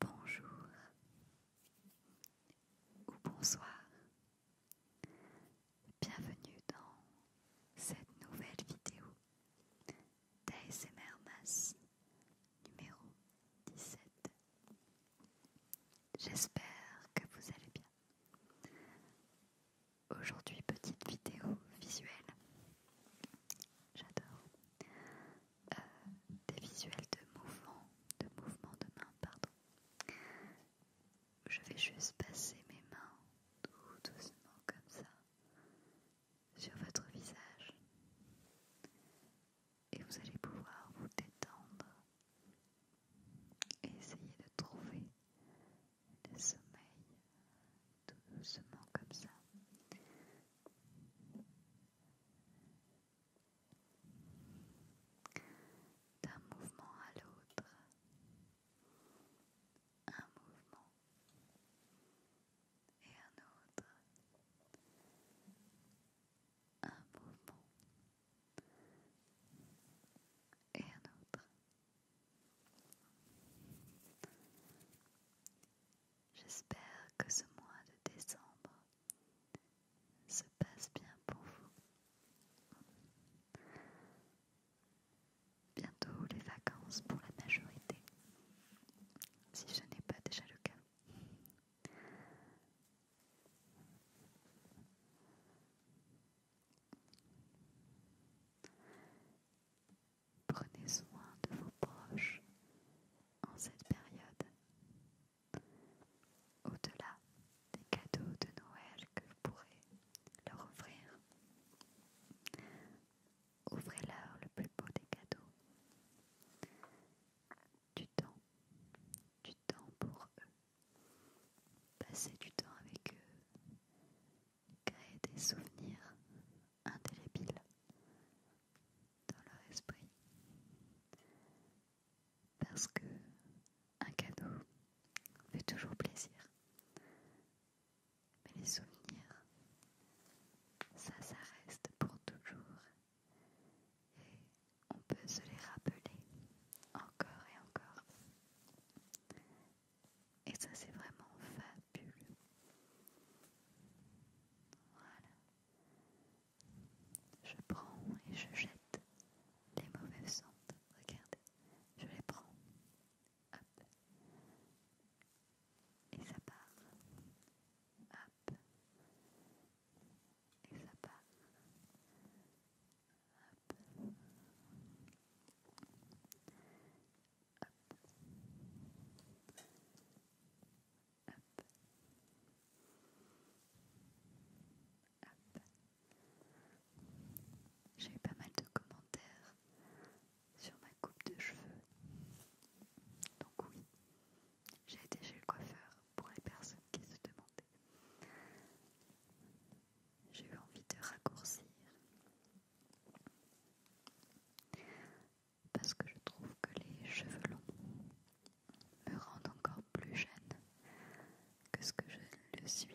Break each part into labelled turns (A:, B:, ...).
A: Bonjour ou bonsoir, bienvenue dans cette nouvelle vidéo MR Mas numéro 17. J'espère que vous allez bien. Aujourd'hui, petite vidéo visuelle. J'adore. Euh, des visuels de mouvement, de mouvement de main, pardon. Je vais juste passer mes mains doucement comme ça sur votre visage. Et vous allez pouvoir vous détendre et essayez de trouver le sommeil doucement comme ça. D'un mouvement à l'autre, un mouvement et un autre, un mouvement et un autre. J'espère que ce mois de décembre se passe bien pour vous. Bientôt les vacances pour la majorité, si ce n'est pas déjà le cas. Prenez soin de vos proches en cette période. Au-delà des cadeaux de Noël que vous pourrez leur offrir, ouvrez leur le plus beau des cadeaux. Du temps, du temps pour eux. Passer du temps avec eux créer des souvenirs indélébiles dans leur esprit. Parce que un cadeau fait toujours plaisir. Mais les souvenirs, ça, ça reste pour toujours on peut se les rappeler encore et encore. Et ça, c'est vraiment fabuleux. Voilà. Je prends et je jette les mauvaises ondes, Regardez, je les prends. Hop. Et ça part. Hop. Et ça part. J'ai eu pas mal de commentaires sur ma coupe de cheveux. Donc oui, j'ai été chez le coiffeur pour les personnes qui se demandaient. J'ai eu envie de raccourcir parce que je trouve que les cheveux longs me rendent encore plus jeune que ce que je le suis.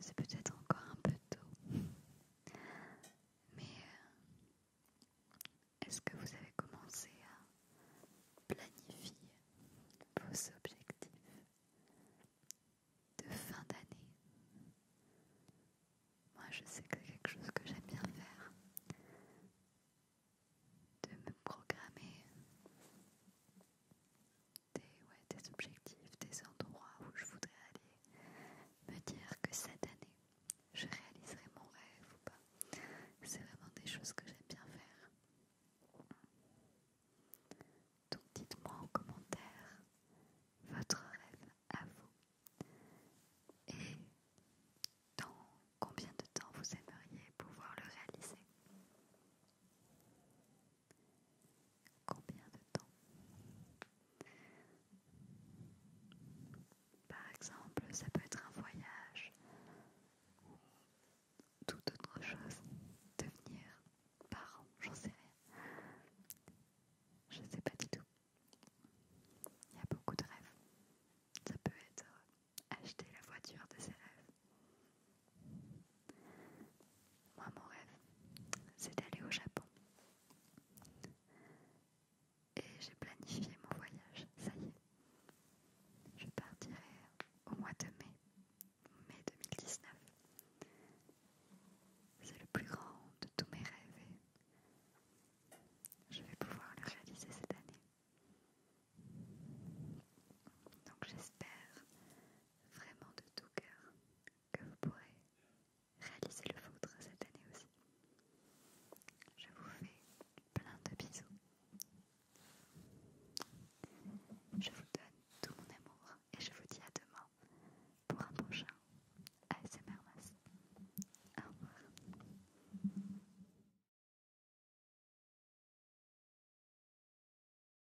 A: C'est peut-être encore un peu tôt. Mais euh, est-ce que vous avez commencé à planifier vos objectifs de fin d'année Moi, je sais que c'est quelque chose que j'aime bien faire de me programmer des, des objectifs, des endroits où je voudrais aller, me dire que cette année, je réaliserai mon rêve ou pas. C'est vraiment des choses que j'aime bien faire. Donc dites-moi en commentaire votre rêve à vous. Et dans combien de temps vous aimeriez pouvoir le réaliser Combien de temps Par exemple, ça peut être un voyage ou toute autre chose. Devenir parent, j'en sais rien. Je sais pas du tout. Il y a beaucoup de rêves. Ça peut être acheter la voiture de ses rêves. Moi, mon rêve, c'est d'aller au Japon. Et j'ai planifié mon voyage, ça y est. Je partirai au mois de mai, mai 2019. C'est le plus grand de tous mes rêves et je vais pouvoir le réaliser cette année. Donc j'espère vraiment de tout cœur que vous pourrez réaliser le vôtre cette année aussi. Je vous fais plein de bisous. Je vous donne tout mon amour et je vous dis à demain pour un prochain ASMR Mass. Au revoir.